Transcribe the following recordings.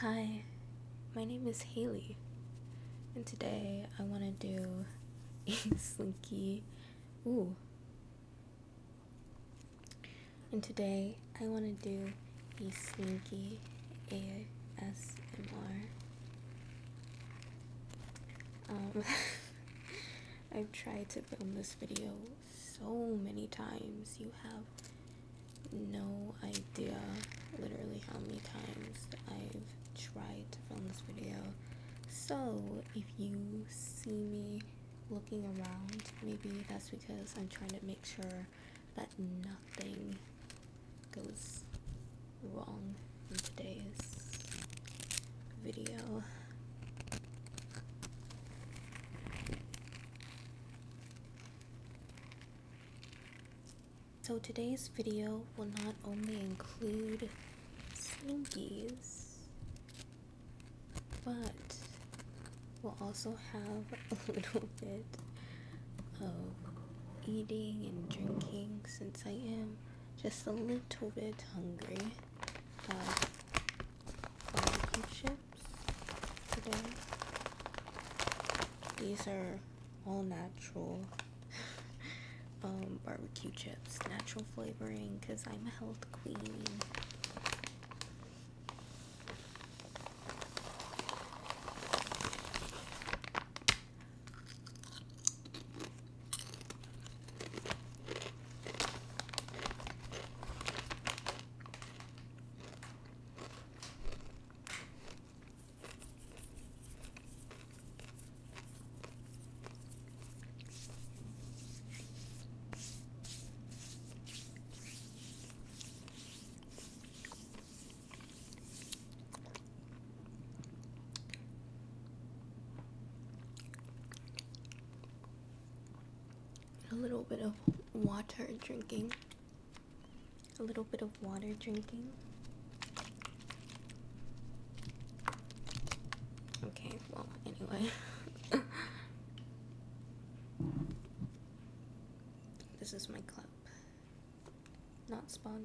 Hi, my name is Haley, and today I want to do a slinky. Ooh. And today I want to do a slinky ASMR. Um, I've tried to film this video so many times. You have no idea literally how many times I've tried to film this video. So if you see me looking around, maybe that's because I'm trying to make sure that nothing goes wrong in today's video. So today's video will not only include slinkies, but we'll also have a little bit of eating and drinking since I am just a little bit hungry. Um, these are all natural um, barbecue chips, natural flavoring, because I'm a health queen. A little bit of water drinking a little bit of water drinking. Okay, well, anyway. this is my club. Not spawn.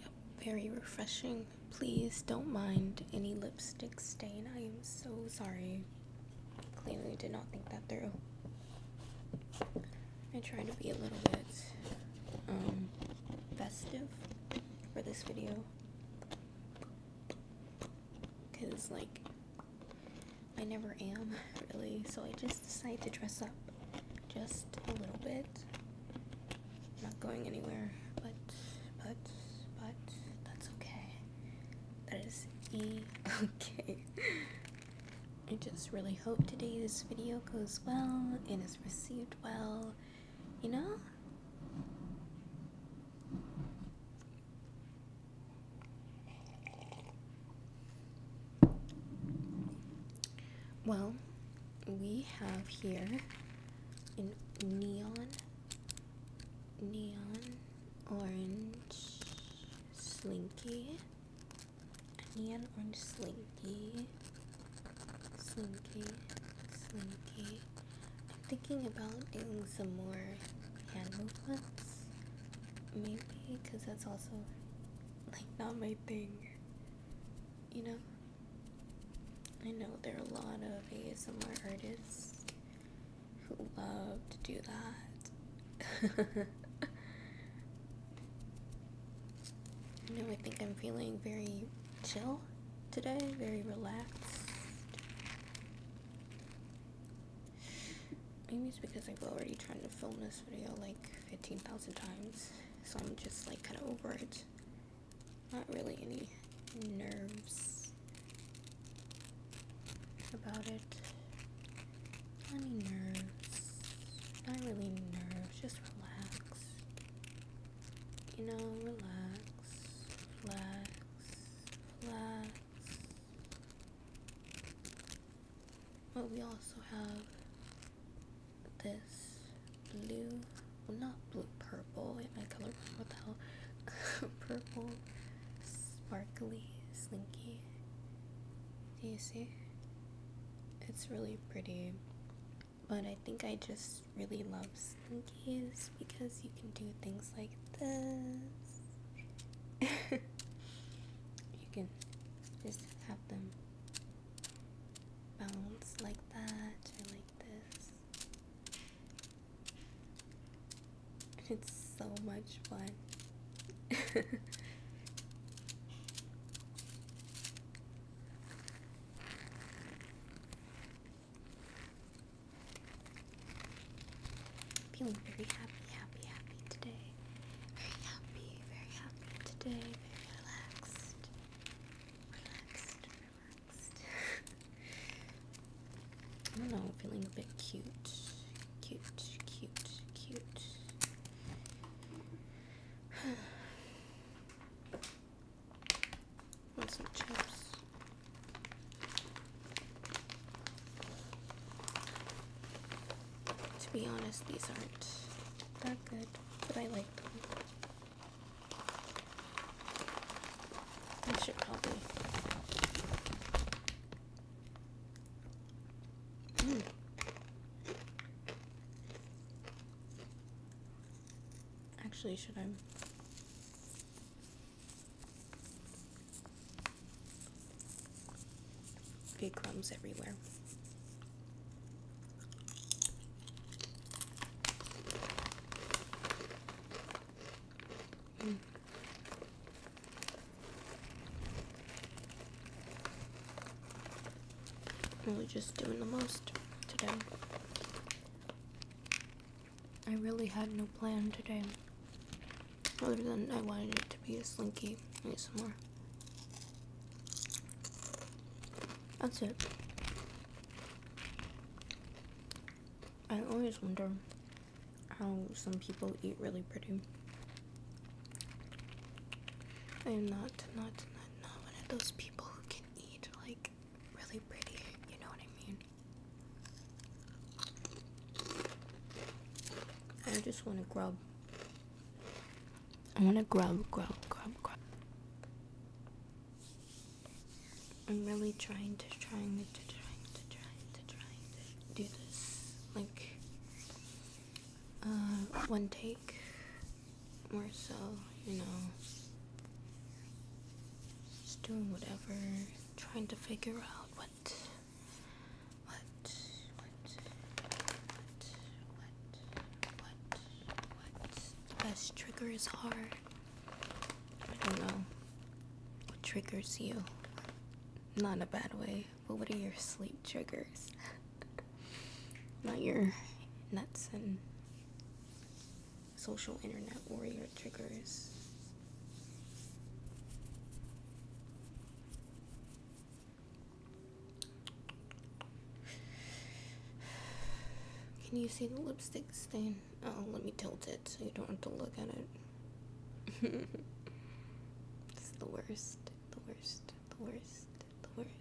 Yep, very refreshing. Please don't mind any lipstick stain. I am so sorry. Clearly did not think that through. I try to be a little bit um, festive for this video. Because, like, I never am, really. So I just decided to dress up just a little bit. I'm not going anywhere, but, but, but, that's okay. That is E-okay. I just really hope today this video goes well and is received well, you know? Well, we have here in neon neon orange slinky, neon orange slinky, slinky, slinky. I'm thinking about doing some more hand movements, maybe because that's also like not my thing, you know. I know there are a lot of ASMR artists who love to do that. you know, I think I'm feeling very chill today, very relaxed. Maybe it's because I've already tried to film this video like 15,000 times, so I'm just like kind of over it. Not really any nerves about it. Not any nerves. Not really nerves, just relax. You know, relax, relax, relax. But we also have this blue, well not blue, purple, am I colorblind? What purple, sparkly, slinky. Do you see? It's really pretty, but I think I just really love slinkies because you can do things like this. you can just have them bounce like that or like this it's so much fun. Feeling very happy, happy, today. Very happy, very happy today. Very relaxed, relaxed, I don't know, I'm feeling a bit cute. Cute, cute, cute. Want some chips? To be honest, these aren't that good, but I like them. I should probably. Mm. Actually, should I? Big crumbs everywhere. Mm. Really just doing the most today. I really had no plan today. Other than I wanted it to be a slinky Need some more. That's it. I always wonder how some people eat really pretty. I am not, not, not, not one of those people who can eat like really pretty, you know what I mean? I just want to grub. I want to grub, grub, grub, grub. I'm really trying to trying to trying to trying to trying to do this like uh, one take more so, you know. Just doing whatever, trying to figure out what what what what what what what the best triggers are I don't know what triggers you. Not in a bad way, but what are your sleep triggers? Not your nuts and social internet warrior triggers. Can you see the lipstick stain? Oh, let me tilt it so you don't have to look at it. it's the worst, the worst, the worst, the worst.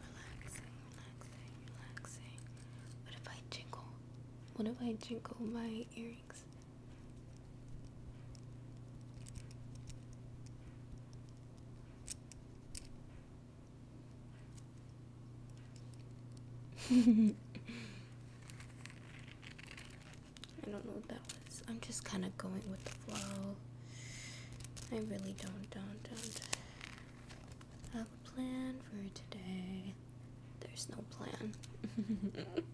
Relaxing, relaxing, relaxing. What if I jingle? What if I jingle my earrings? I don't know what that was. I'm just kind of going with the flow. I really don't, don't, don't have a plan for today. There's no plan.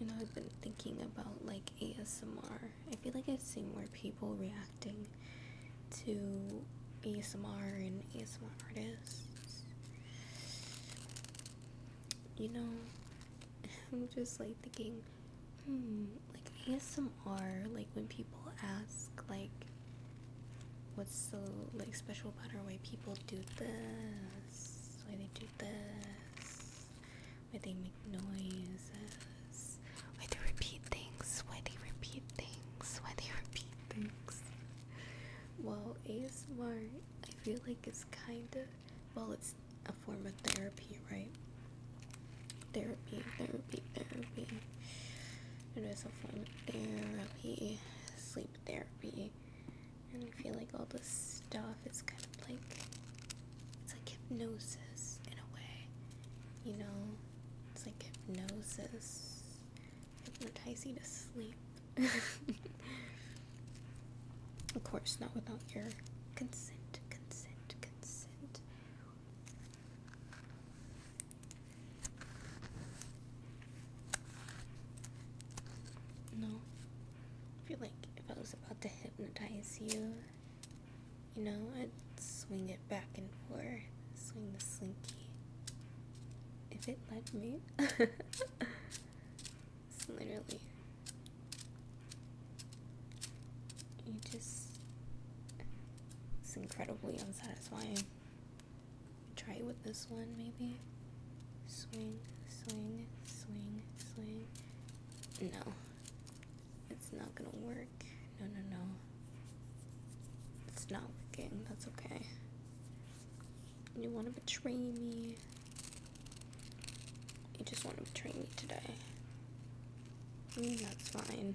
You know, I've been thinking about like ASMR. I feel like i see more people reacting to ASMR and ASMR artists. You know, I'm just like thinking, hmm, like ASMR, like when people ask, like, what's so like special about why people do this, why they do this, why they make noises, why they repeat things, why they repeat things, why they repeat things. Well, ASMR, I feel like it's kind of, well, it's a form of therapy, right? Therapy, therapy, therapy. It is a form of therapy, sleep therapy. And I feel like all this stuff is kind of like it's like hypnosis in a way. You know? It's like hypnosis. Hypnotize you to sleep. of course, not without your consent, consent, consent. No. I feel like if I was about to hypnotize you, you know, I'd swing it back and forth, swing the slinky. If it let me. it's literally. You just. It's incredibly unsatisfying. Try it with this one, maybe. Swing, swing, swing, swing. No, it's not gonna work. No, no, no. It's not working. That's okay. You wanna betray me. You just wanna betray me today. Mm, that's fine.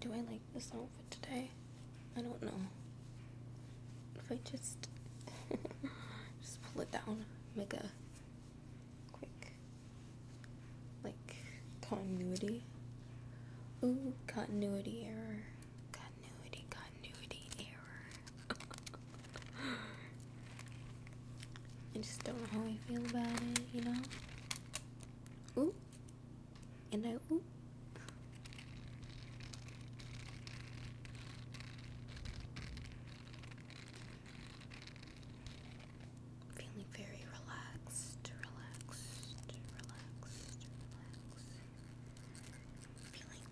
Do I like this outfit today? I don't know. If I just just pull it down, make a quick like continuity. Ooh, continuity error. Continuity, continuity continuity error. I just don't know how I feel about it, you know? Ooh. And I ooh. Feeling very relaxed, relaxed, relaxed, relaxed. Feeling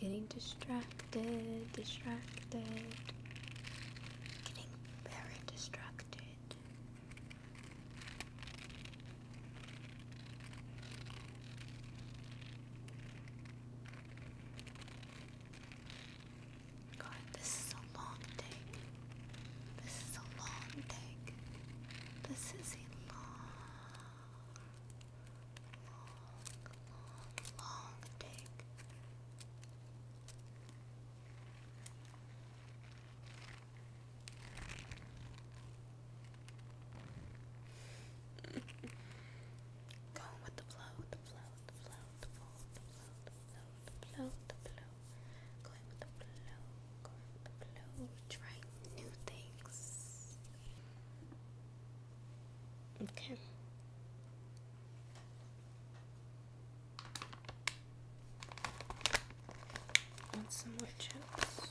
Getting distracted, distracted, getting very distracted. God, this is a long take. This is a long take. This is a long, long, long, long take. Going with the flow, the flow, the flow, the flow, the flow, the flow, the flow, the flow. Going with the flow, going with the flow, trying new things. Okay. Want some more chips?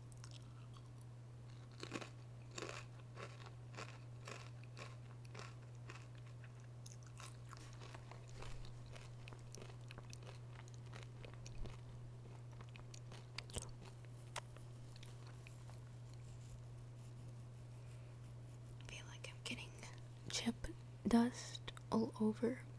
I feel like I'm getting chip dust all over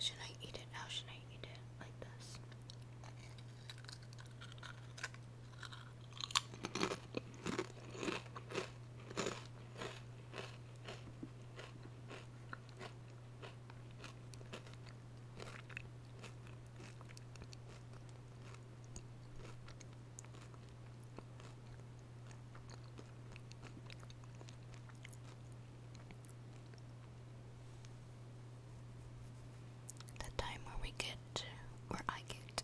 Should I eat it? How should I eat it? Like this. The time where we get, where I get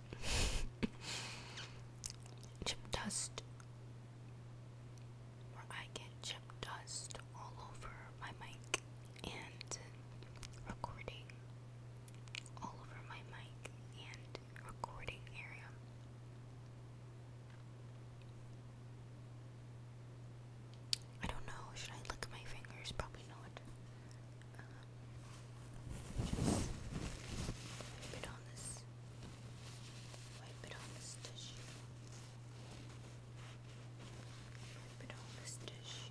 chip dust, where I get chip dust all over my mic and recording all over my mic and recording area. I don't know, should I lick my fingers? Probably not. Um, wipe it on this, wipe it on this tissue. Wipe it on this tissue.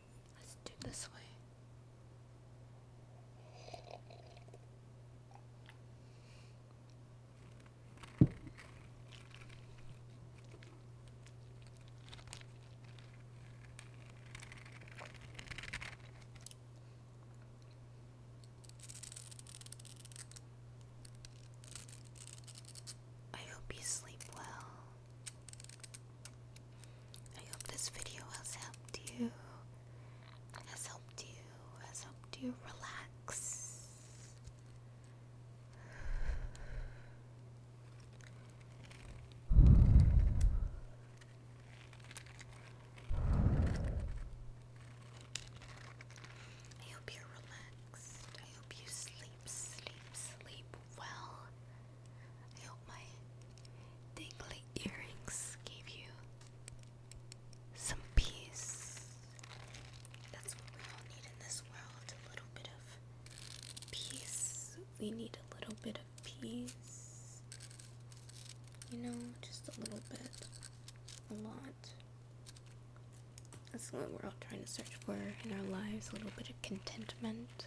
Let's do this way. I hope you sleep well. I hope this video has helped you, has helped you, has helped you relax. I hope you're relaxed. I hope you sleep, sleep, sleep well. I hope my dangly earrings gave you some peace. That's what we all need in this world a little bit of peace. We need a little bit of peace. You know, just a little bit. A lot. That's what we're all trying to search for in our lives a little bit of contentment,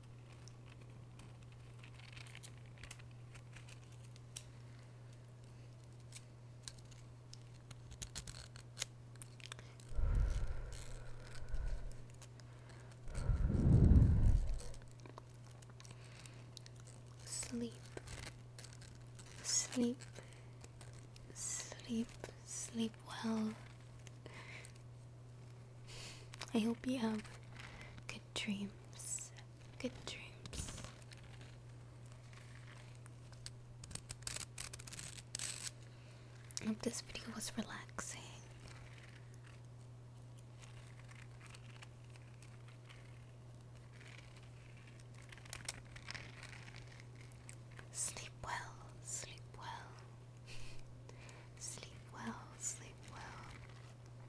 Sleep, sleep, sleep, sleep well. I hope you have Good dreams. Good dreams. I hope this video was relaxing. Sleep well, sleep well. sleep well, sleep well.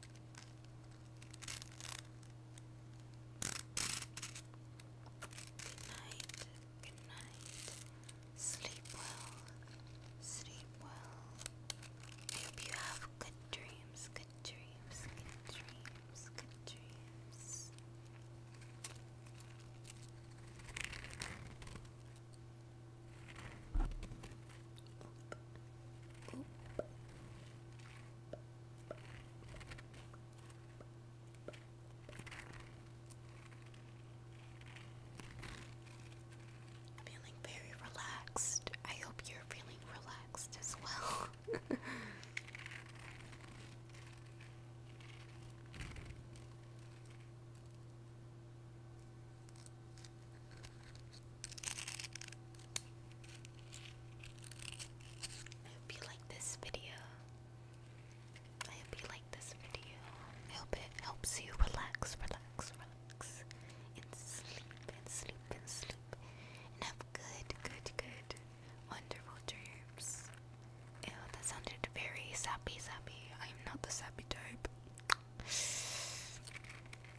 Good night, good night. Sleep well, sleep well. hope you have good dreams, good dreams, good dreams, good dreams. Feeling very relaxed. I hope you're feeling relaxed as well. I hope you like this video. I hope you like this video. I hope it helps you relax, relax, relax, and sleep, and sleep, and sleep, and have good, good, good, wonderful dreams. Ew, oh, that sounded very sappy, sappy. I'm not the sappy type.